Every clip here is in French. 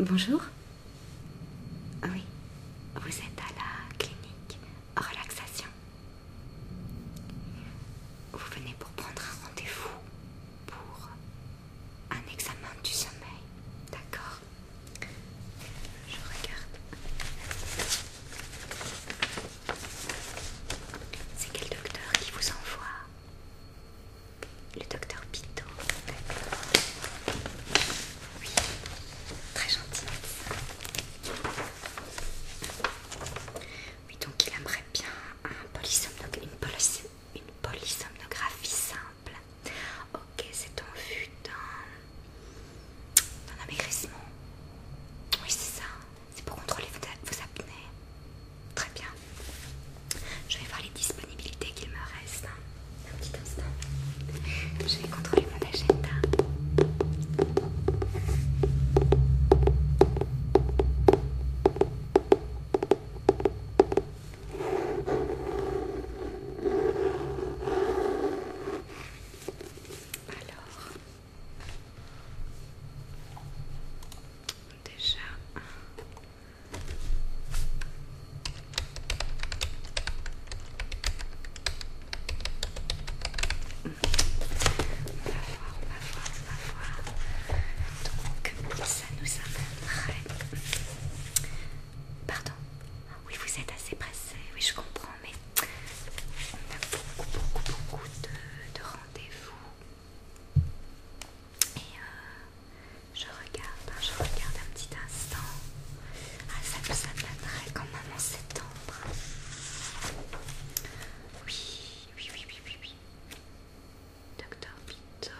Bonjour. Ah oui, vous êtes à la clinique relaxation. Vous venez pour prendre un rendez-vous pour un examen du sommeil, d'accord je regarde. C'est quel docteur qui vous envoie Le docteur Pito. Oui, très gentil. Oui, donc il aimerait bien une, une polysomnographie simple. Ok, c'est en vue d'un d'un amaigrissement. Oui, c'est ça. C'est pour contrôler vos apnées. Très bien. Je vais voir les disponibilités qu'il me reste. Hein. Un petit instant. Je vais contrôler mon agenda. Alors, déjà, on va voir, on va voir, on va voir. Donc, ça nous amènerait. Pardon. Oui, vous êtes assez pressé. Oui, je comprends, mais on a beaucoup, beaucoup, beaucoup de, rendez-vous. Et euh, je regarde, hein, je regarde un petit instant. Ah, ça me amènerait quand même en septembre. Oui, oui, oui, oui, oui. oui. Docteur Pito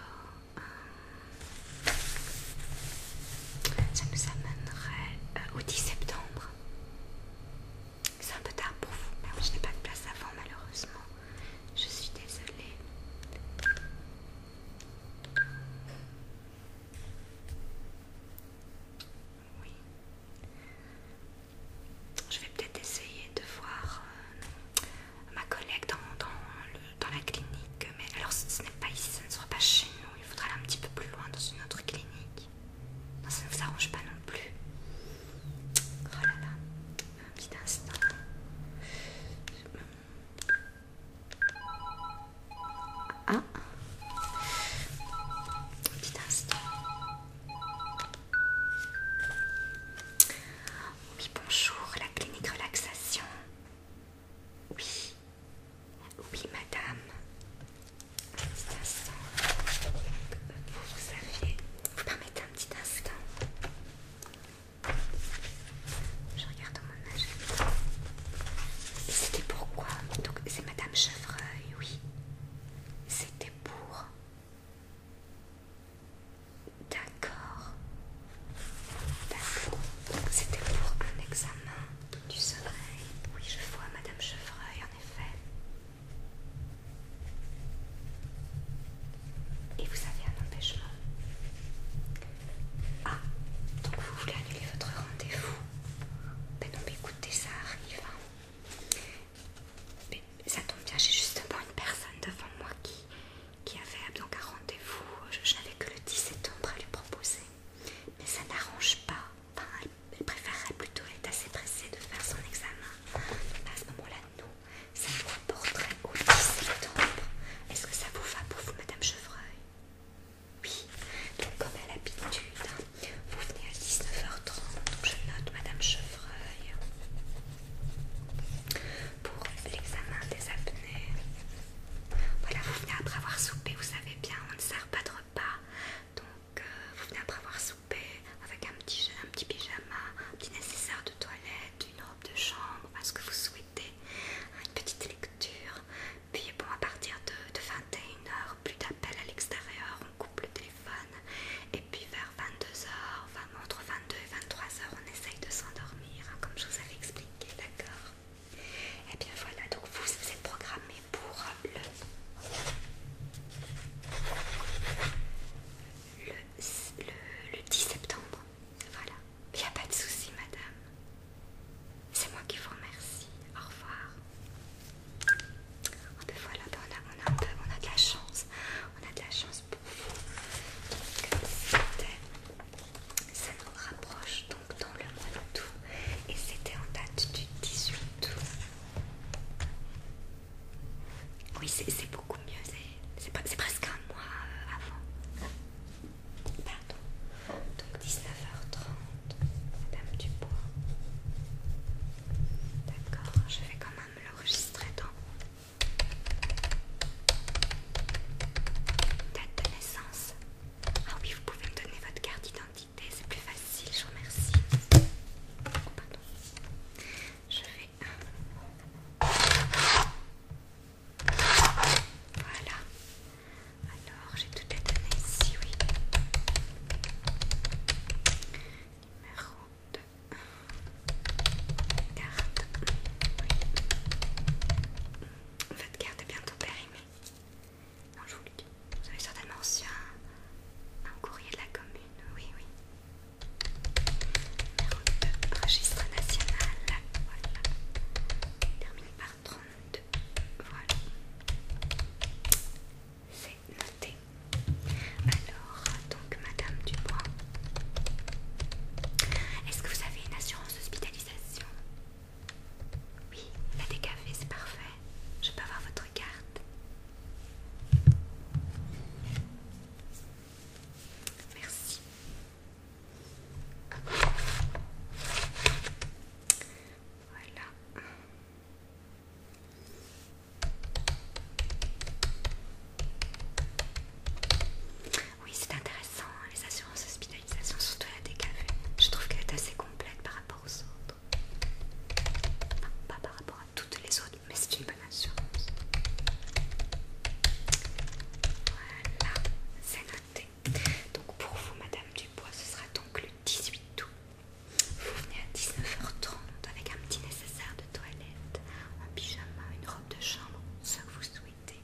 ça nous amènerait euh, au 10 septembre. C'est un peu tard pour vous, mais je n'ai pas de place avant malheureusement. Je suis désolée. Oui. Je vais peut-être essayer de voir euh, ma collègue dans, la clinique, mais alors ce, ce n'est pas ici, ça ne sera pas chez nous il faudra aller un petit peu plus loin dans une autre clinique. ça ne vous arrange pas non plus. Oh là là, un petit instant. Ah, un petit instant. Oui, bonjour, la clinique relaxation. Oui, oui, madame. Un petit instant. Vous savez, Vous permettez un petit instant Je regarde mon âge. c'était pourquoi Donc, c'est madame Chevreuil, oui. C'était pour... D'accord. D'accord. C'était pour un examen tu soleil. Oui, je vois Madame Chevreuil, en effet. Et vous avez un empêchement. Ah, donc vous voulez annuler votre rendez-vous Ben non, mais écoutez, ça arrive. Hein. Mais ça tombe bien, j'ai justement une personne devant moi qui, qui avait donc un rendez-vous. Je, n'avais que le 10 septembre à lui proposer. Mais ça n'arrange pas elle, préférerait plutôt être assez pressée de faire son examen. à ce moment-là, nous, ça nous reporterait au 10 septembre. Est-ce que ça vous va pour vous, Madame Chevreuil Oui, donc comme à l'habitude, hein, vous venez à 19h30, donc je note Madame Chevreuil pour l'examen des apnées. Voilà, vous venez après avoir soupé, vous savez bien, on ne sert pas trop donc, euh, vous venez après avoir soupé avec un petit, un petit pyjama, un petit nécessaire de toilette, une robe de chambre, ce que vous souhaitez, une petite lecture. Puis, bon, à partir de, 21h, plus d'appels à l'extérieur, on coupe le téléphone. Et puis, vers 22h, enfin, entre 22 et 23h, on essaye de s'endormir, hein, comme je vous avais expliqué, d'accord et eh bien voilà, donc vous, êtes programmé pour le, le, 10 septembre. Voilà, il n'y a pas de souci, madame. C'est moi qui vous remercie. Au revoir. Ah, Et ben voilà, ben, on, a, de la chance. On a de la chance pour vous. c'était ça rapproche donc dans le mois d'août et c'était en date du 18 août. Oui, c'est beaucoup mieux, c'est presque un mois euh, avant. Pardon. Donc 19h30, Madame Dubois. D'accord, je vais quand même l'enregistrer dans date de naissance. Ah oui, vous pouvez me donner votre carte d'identité c'est plus facile, je remercie. pardon. Je vais. Voilà. Alors, j'ai tout les données. ici, oui. Numéro 2. Carte. Oui. Votre carte est bientôt périmée. Non, je vous le dis. Vous avez certainement reçu un, courrier de la commune. Oui, oui. Numéro registre national. Voilà. Termine par 32. Voilà. C'est noté. Alors, donc, Madame Dubois, est-ce que vous avez une assurance hospitalisation oui, la décavée, c'est parfait. Je peux avoir votre carte. Merci. Voilà. Oui, c'est intéressant, hein, les assurances hospitalisation, surtout la DKV. Je trouve qu'elle est assez complète par rapport aux autres. pas par rapport à toutes les autres, mais c'est une bonne assurance. Voilà, c'est noté. Donc pour vous, Madame Dubois, ce sera donc le 18 août. Vous venez à 19h30 avec un petit nécessaire de toilette, un pyjama, une robe de chambre, ce que vous souhaitez.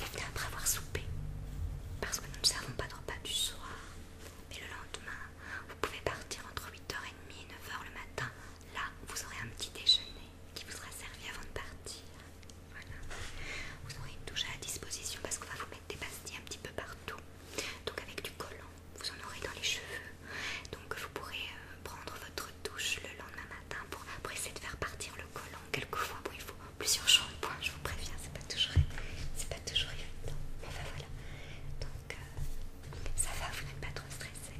Et comment après avoir soupé parce que nous ne servons pas de repas du soir. Mais le lendemain, vous pouvez partir entre 8h30 et 9h le matin. Là, vous aurez un petit déjeuner qui vous sera servi avant de partir. Voilà. Vous aurez une à disposition parce qu'on va vous mettre des pastilles un petit peu partout. Donc avec du collant, vous en aurez dans les cheveux. Donc vous pourrez euh, prendre prendre votre douche le lendemain matin pour essayer de faire partir le collant. Quelquefois, bon, il faut plusieurs shampoings, je vous préviens, c'est pas toujours, c'est pas toujours évident. Mais enfin, voilà. Donc, euh, ça va, vous n'êtes pas trop stressé.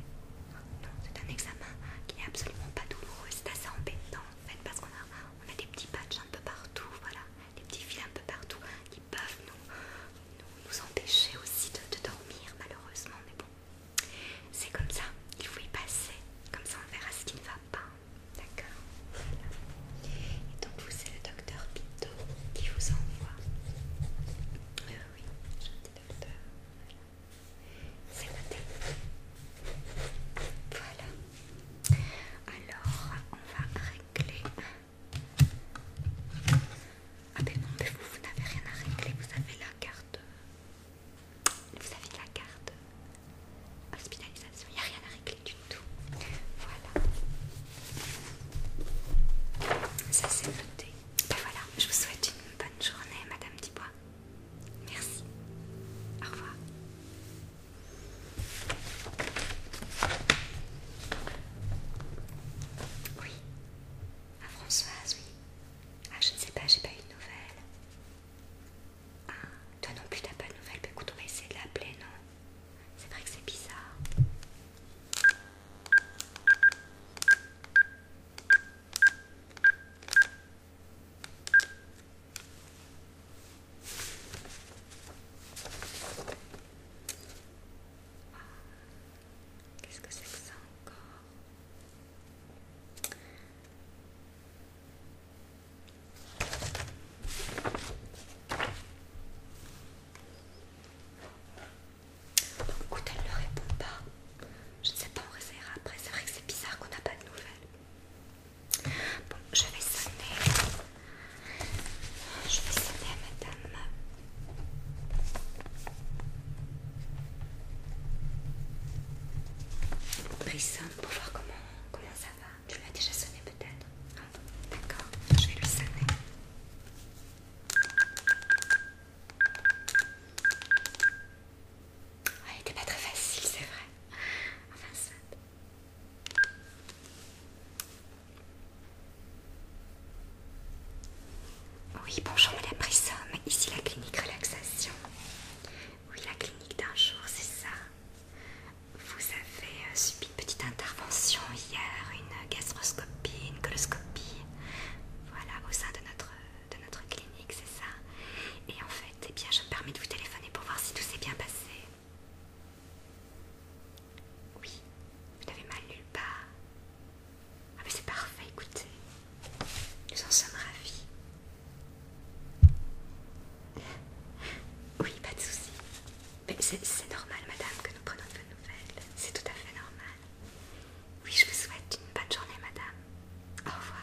Non, c'est un examen qui n'est absolument pas douloureux, c'est assez embêtant en fait parce qu'on a, on a des petits patchs un peu partout, voilà, des petits fils un peu partout qui peuvent nous, nous, empêcher aussi de, de dormir malheureusement, mais bon, c'est comme ça, il faut y passer. Comme ça, on verra ce qui ne va pas. D'accord voilà. Et donc, vous, c'est le docteur Pito qui vous envoie. Euh, oui oui, gentil docteur. C'est noté. Voilà. Alors, on va régler. Ah, ben non, mais vous, vous n'avez rien à régler. Vous avez la carte vous avez la carte hospitalisation, il n'y a rien à régler du tout. Voilà, ça c'est noté. Ben voilà, je vous souhaite une bonne journée, Madame Dubois. Merci, au revoir. Oui, à Françoise, oui. Ah, je ne sais pas, j'ai pas eu de nouvelles. Ah, toi non plus t'as pas de nouvelles. mais bah, écoute, on va essayer de l'appeler, non C'est vrai que c'est bizarre. Ah, qu'est-ce que c'est que ça encore écoute, elle ne répond pas. Je ne sais pas, on essaiera après. C'est vrai que c'est bizarre qu'on n'a pas de nouvelles. Bon, je vais sonner. Je vais sonner à madame. Brisson pour voir comment, comment ça va. Tu l'as déjà sonné peut-être ah, D'accord, je vais le sonner. Ah, il n'était pas très facile, c'est vrai. Enfin, ça. Oui, bonjour Madame Brisson, ici la clinique relaxation. Oui, la clinique d'un jour, c'est ça. Vous avez euh, subi une petite intervention hier, une gastroscopie, une coloscopie. Voilà, au sein de notre, clinique, c'est ça. Et en fait, eh bien, je me permets de vous téléphoner pour voir si tout s'est bien passé. Oui, vous n'avez mal nulle part. Ah mais c'est parfait, écoutez. Nous en sommes ravis. Oui, pas de souci. c'est normal, madame, que nous prenons de nouvelles. C'est tout à fait normal. Oui, je vous souhaite une bonne journée, madame. Au revoir.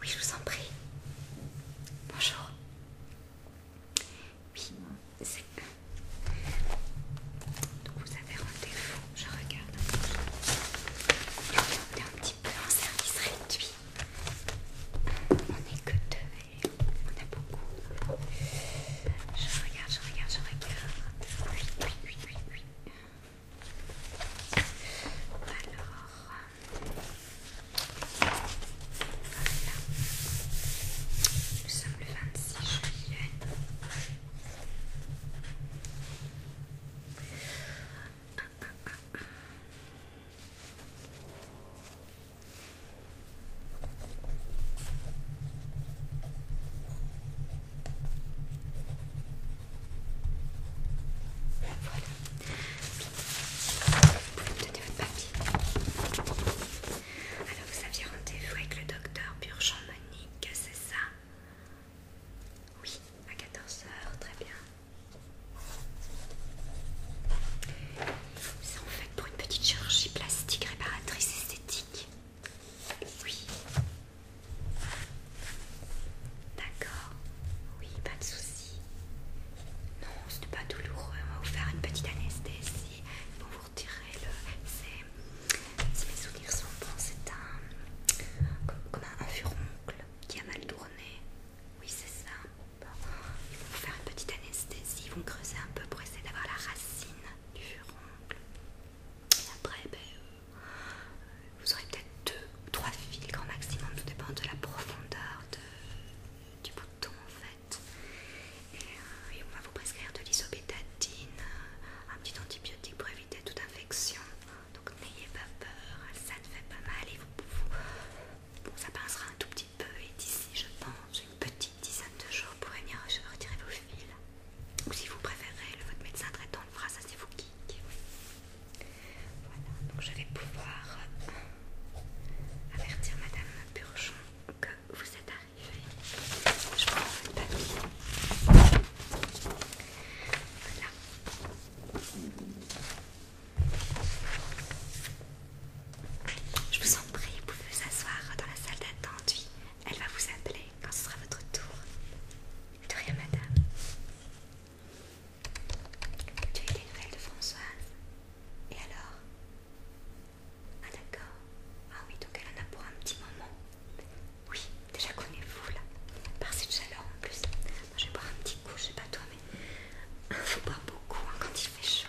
Oui, je vous en prie. Bonjour. Oui, c'est... Donc vous avez rendez-vous, je regarde. On est un petit peu en service réduit. On n'est que deux on a beaucoup. Je regarde, je regarde, je regarde. Oui, oui, oui, oui, oui. Alors, voilà. Nous sommes le 26 juillet. Voilà. Alors, vous aviez rendez-vous avec le docteur Burgeon Monique, c'est ça Oui, à 14h, très bien. C'est en fait pour une petite chirurgie plastique réparatrice esthétique. Oui. D'accord. Oui, pas de souci. Non, ce pas douloureux. On va vous faire une petite anesthésie. Ils vont vous retirer le. Si mes souvenirs sont bons, c'est un. Comme, un furoncle qui a mal tourné. Oui, c'est ça. Ils vous faire une petite anesthésie ils vont creuser un peu pour essayer d'avoir la racine du furoncle. Et après, ben, euh, vous aurez peut-être deux ou trois fils grand maximum, tout dépend de la profondeur du bouton en fait. Euh, et, on va vous prescrire de l'isobétadine, euh, un petit antibiotique pour éviter toute infection. Donc n'ayez pas peur, ça ne fait pas mal et vous, ça pincera un tout petit peu et d'ici je pense une petite dizaine de jours pour venir retirer vos fils. Ou si vous préférez, le, votre médecin traitant le fera, ça c'est vous qui, Voilà, donc je vais pouvoir euh, avertir Madame Burgeon que vous êtes arrivée. Je prends votre papier. Voilà. Je vous en prie, vous pouvez vous asseoir dans la salle d'attente. elle va vous appeler quand ce sera votre tour. De rien, madame. Tu as eu des nouvelles de Françoise Et alors Ah, d'accord. Ah, oui, donc elle en a pour un petit moment. Oui, déjà connaissez-vous là. Par cette chaleur en plus. je vais boire un petit coup, je sais pas toi, mais. il Faut boire beaucoup hein, quand il fait chaud.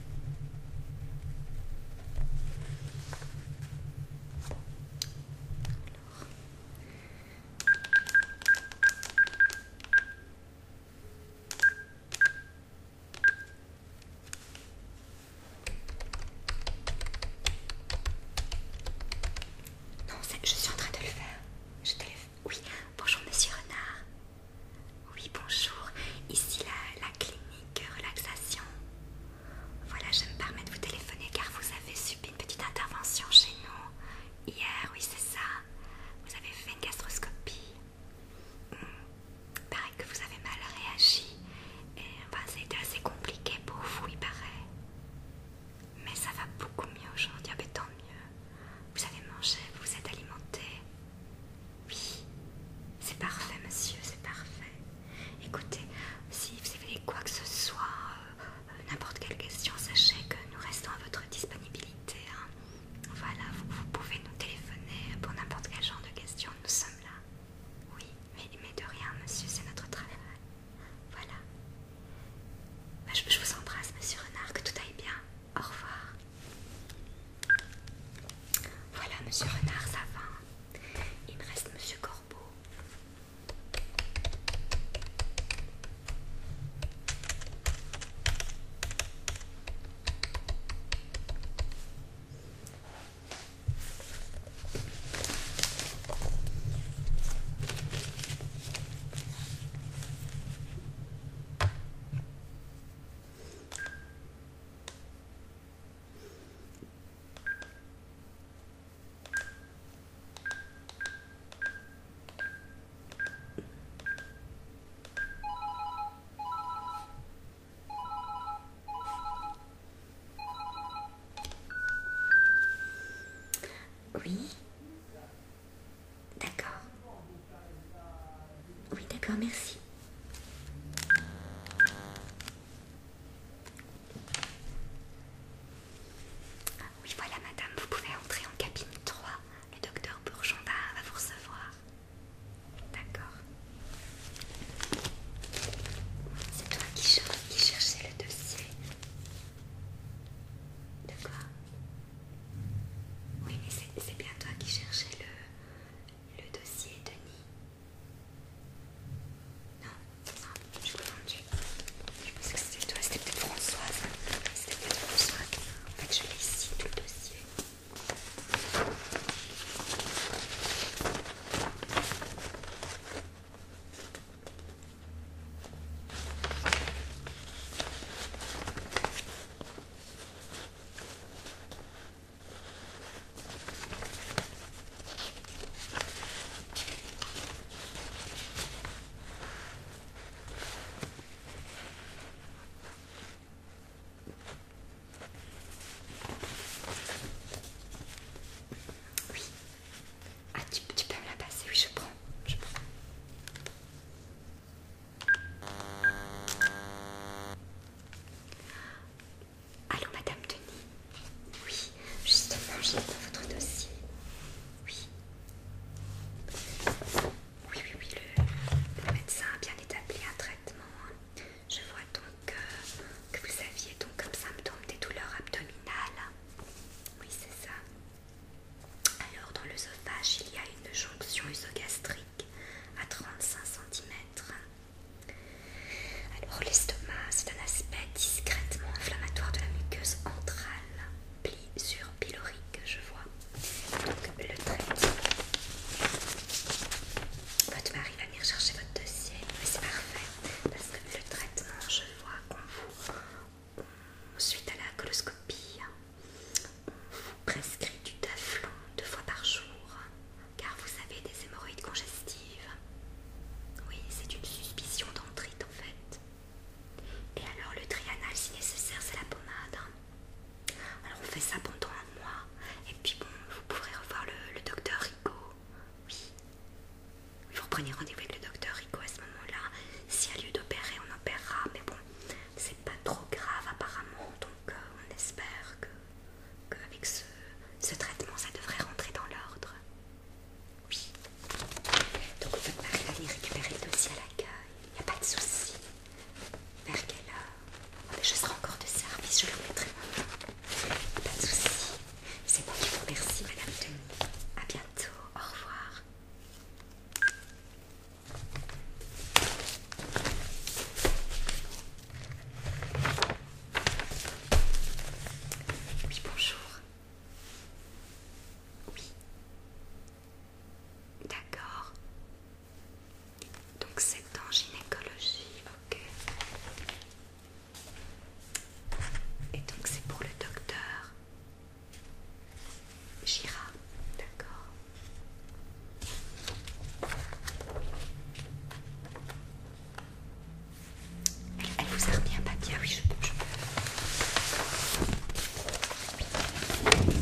Non, je suis en train de le faire. Je te le... Oui, bonjour monsieur Renard. Oui, bonjour. Ici la, clinique relaxation. Voilà, je me permets de vous téléphoner car vous avez subi une petite intervention chez nous hier, oui, c'est ça. Vous avez fait une gastroscopie. Il hmm, Paraît que vous avez mal réagi. Et enfin, été assez compliqué pour vous, il paraît. Mais ça va beaucoup mieux aujourd'hui, ah, mais ben tant mieux. Vous avez mangé, vous vous êtes alimenté. Oui, c'est parfait, monsieur, c'est parfait. Écoutez, si vous avez quoi que ce soit, euh, n'importe quelle question, sachez que nous restons à votre disponibilité. Hein. Voilà, vous, pouvez nous téléphoner pour n'importe quel genre de question, nous sommes là. Oui, mais, de rien, monsieur, c'est notre travail. Voilà. Bah, je vous embrasse, monsieur Renard, que tout aille bien. Au revoir. Voilà, monsieur Renard, ça va. Il reste monsieur Corbeau. Oui. D'accord. Oui, d'accord, merci. Ah oui, voilà, madame, vous pouvez entrer en cabine 3. Le docteur Bourgondin va vous recevoir. D'accord. C'est toi qui, qui cherchais le dossier. De quoi Oui, mais c'est bien toi qui cherchais le, le dossier Denis Non, non, je me suis Je pense que c'était toi, c'était peut-être Françoise. C'était peut-être Françoise. En fait, je l'ai ici, tout le dossier. Oui. Ah, tu, tu peux me la passer, oui, je prends. Je prends. Allô, Madame Denis Oui, justement, j'ai dans votre dossier. Oui. Oui, oui, oui, le, médecin a bien établi un traitement. Je vois donc euh, que vous aviez donc comme symptôme des douleurs abdominales. Oui, c'est ça. Alors, dans l'œsophage, il y a une jonction usogastrique à 35 cm alors l'estomac, c'est un aspect discrètement inflammatoire de la muqueuse entrale, pli sur pylorique, je vois. Donc le traitement. Votre mari va venir chercher votre dossier, mais c'est parfait parce que le traitement, je vois qu'on vous, suite à la coloscopie, on vous prescrit du taflon deux fois par jour car vous avez des hémorroïdes congestives. Oui, c'est une suspicion d'entrite en fait. Et alors le trianal si nécessaire c'est la pommade. Hein. Alors on fait ça pendant un mois et puis bon vous pourrez revoir le, docteur Rico. Oui. Vous reprenez rendez-vous avec le docteur Rico à ce moment-là. S'il y a lieu d'opérer, on opérera, mais bon, c'est pas trop grave apparemment, donc euh, on espère que qu'avec ce, traitement, ça devrait rentrer dans l'ordre. Oui. Donc on peut va aller récupérer le dossier à l'accueil. Il n'y a pas de souci. Vers quelle heure ah, Je serai encore de service, je le remettrai maintenant. Pas de souci. C'est moi qui vous remercie, Madame Denis. A bientôt. Au revoir. Oui, bonjour. Oui. D'accord. Donc c'est en gynécologie, ok. Et donc c'est pour le docteur Gira, d'accord. Elle vous a bien un papier, ah oui, je peux. Ah oui.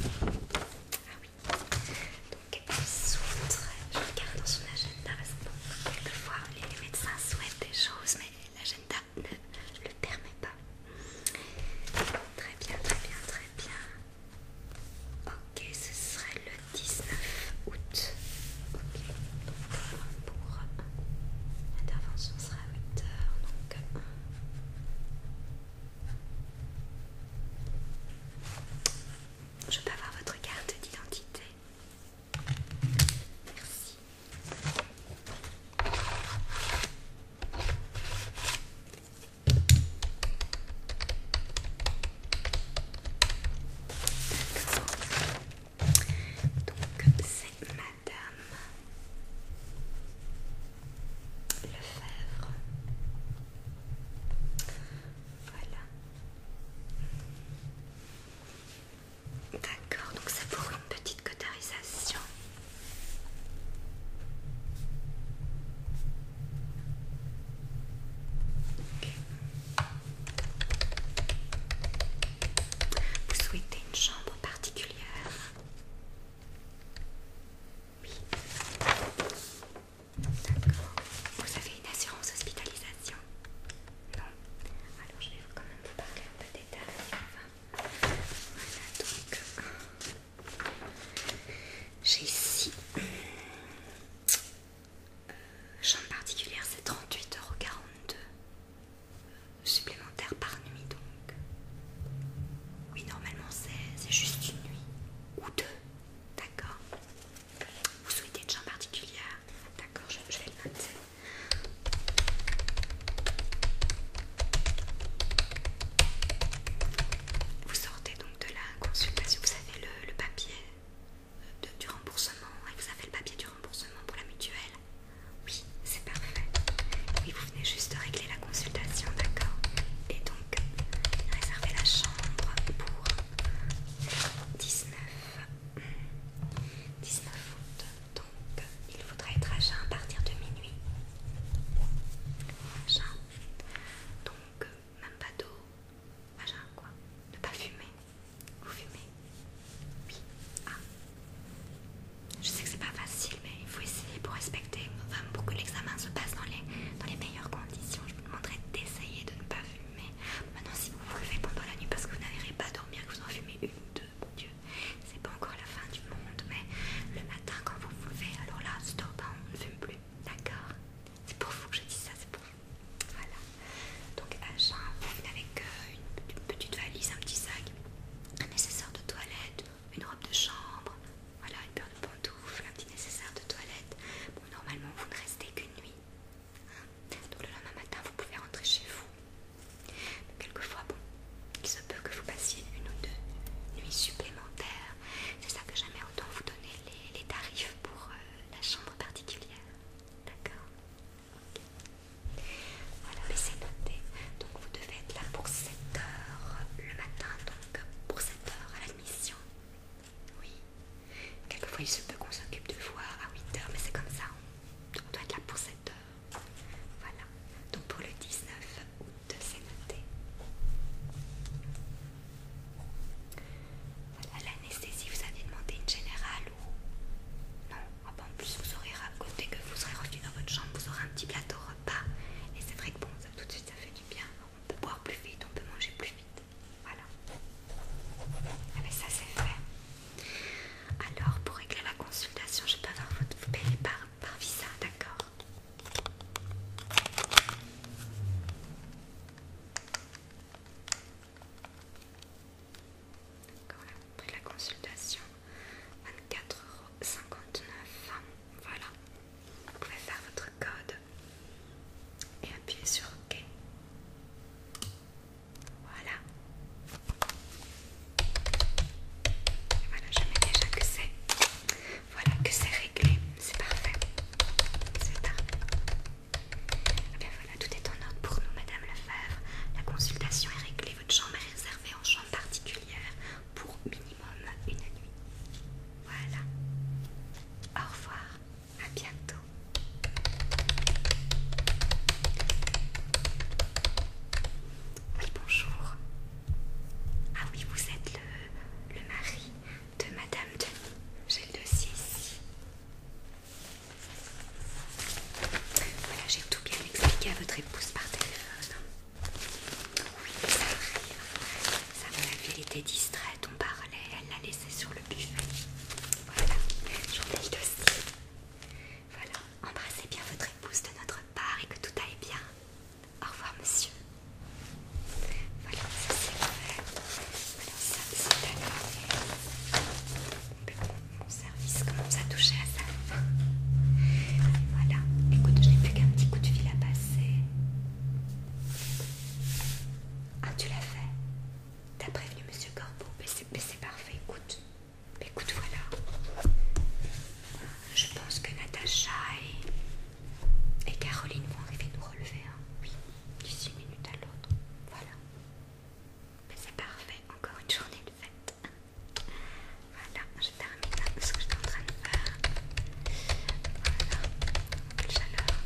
Donc elle souhaite... je regarde dans son agenda parce que quelquefois les médecins souhaitent des choses mais l'agenda ne le permet pas. Très bien, très bien, très bien. Ok, ce serait le 19 août. Euh, euh, l'intervention sera à 8 heures. Donc, euh, je peux avoir votre carte d'identité. Merci. Donc c'est Madame Lefebvre. Voilà. D'accord, donc ça pour une petite cotarisation. Vous souhaitez une chambre particulière Oui. D'accord. Vous avez une assurance hospitalisation Non. Alors je vais quand même vous parler un peu d'état. voilà donc. J'ai ici chambre particulière, c'est 38,42€ supplémentaire par nuit donc. Oui, normalement c'est juste une nuit ou deux, d'accord Vous souhaitez une chambre particulière D'accord, je, vais le noter. Vous sortez donc de la consultation, vous avez le, papier du remboursement, et hein, vous avez le papier du remboursement pour la mutuelle. Oui, c'est parfait. Oui, vous venez juste régler la consultation, d'accord Et donc, réserver la chambre pour 19, 19 août. Donc, il faudra être à jeun à partir de minuit. Donc, même pas d'eau, machin quoi. Ne pas fumer. Vous fumez Oui. Ah. Je sais que c'est pas facile, mais il faut essayer pour respecter. femmes pour que l'examen se passe dans les, dans les meilleures conditions, je vous demanderai d'essayer de ne pas fumer. Maintenant, si vous vous levez pendant la nuit parce que vous n'arrivez pas à dormir, que vous en fumez une ou deux, Dieu, c'est pas encore la fin du monde, mais le matin quand vous vous levez, alors là, stop, hein, on ne fume plus. D'accord c'est pour vous que je dis ça, c'est pour vous. Voilà. Donc à avec euh, une, petite valise, un petit sac, un nécessaire de toilette, une robe de chambre, voilà, une paire de pantoufles, un petit nécessaire de toilette. Bon, normalement, vous ne restez qu'une nuit. Hein. Donc le lendemain matin, vous pouvez rentrer chez vous. Mais quelquefois, bon, il se peut que vous passiez une ou deux nuits supplémentaires. C'est ça que j'aimerais autant vous donner les, tarifs pour euh, la chambre particulière. D'accord Voilà, mais c'est noté. Donc vous devez être là pour 7 heures le matin, donc pour 7 heures à l'admission. Oui. Quelquefois il se peut qu'on s'occupe de voir à 8 heures, mais c'est comme ça. On, doit être là pour 7 heures. Voilà. Donc pour le 19 août, c'est noté. Voilà, l'anesthésie, vous avez demandé une générale ou... Non, ah en plus vous aurez, raconté que vous serez revenu dans votre chambre, vous aurez un petit plateau repas. Et c'est vrai que bon, tout de suite ça fait du bien. On peut boire plus vite, on peut manger plus vite. Voilà. Ah ben, ça c'est fait. Alors, pour régler la consultation, je peux avoir votre... Vous par visa, d'accord voilà, après la consultation, 24,59€. Voilà, vous pouvez faire votre code et appuyer sur OK. Voilà. Et voilà, je mets déjà que c'est. Voilà que c'est réglé, c'est parfait. C'est parfait. Et eh bien voilà, tout est en ordre pour nous, Madame Lefebvre. La consultation est réglée, votre chambre est réservée en chambre particulière pour minimum une nuit. Voilà. Au revoir, à bientôt. Oui, bonjour. Ah oui, vous êtes le, le mari de Madame Denis. J'ai le dossier ici. Voilà, j'ai tout bien expliqué à votre épouse par téléphone. Oui, ça arrive. Ça m'a vu, elle était distraite, on parlait, elle l'a laissé sur le buffet. Voilà, j'en ai le dossier. Voilà, embrassez bien votre épouse de notre part et que tout aille bien. Au revoir, monsieur. Voilà, ça c'est fait. Voilà ça c'est d'accord. Mon service commence à toucher à sa Voilà, écoute, je n'ai plus qu'un petit coup de fil à passer. Ah, tu l'as fait T'as prévenu monsieur Corbeau Mais c'est parfait, écoute. Écoute, voilà. Je pense que Natacha est et Caroline vont arriver nous relever, hein. oui, d'ici une minute à l'autre. Voilà. Mais ben, c'est parfait, encore une journée de fête. Voilà, je termine ce que j'étais en train de faire. Voilà, chaleur.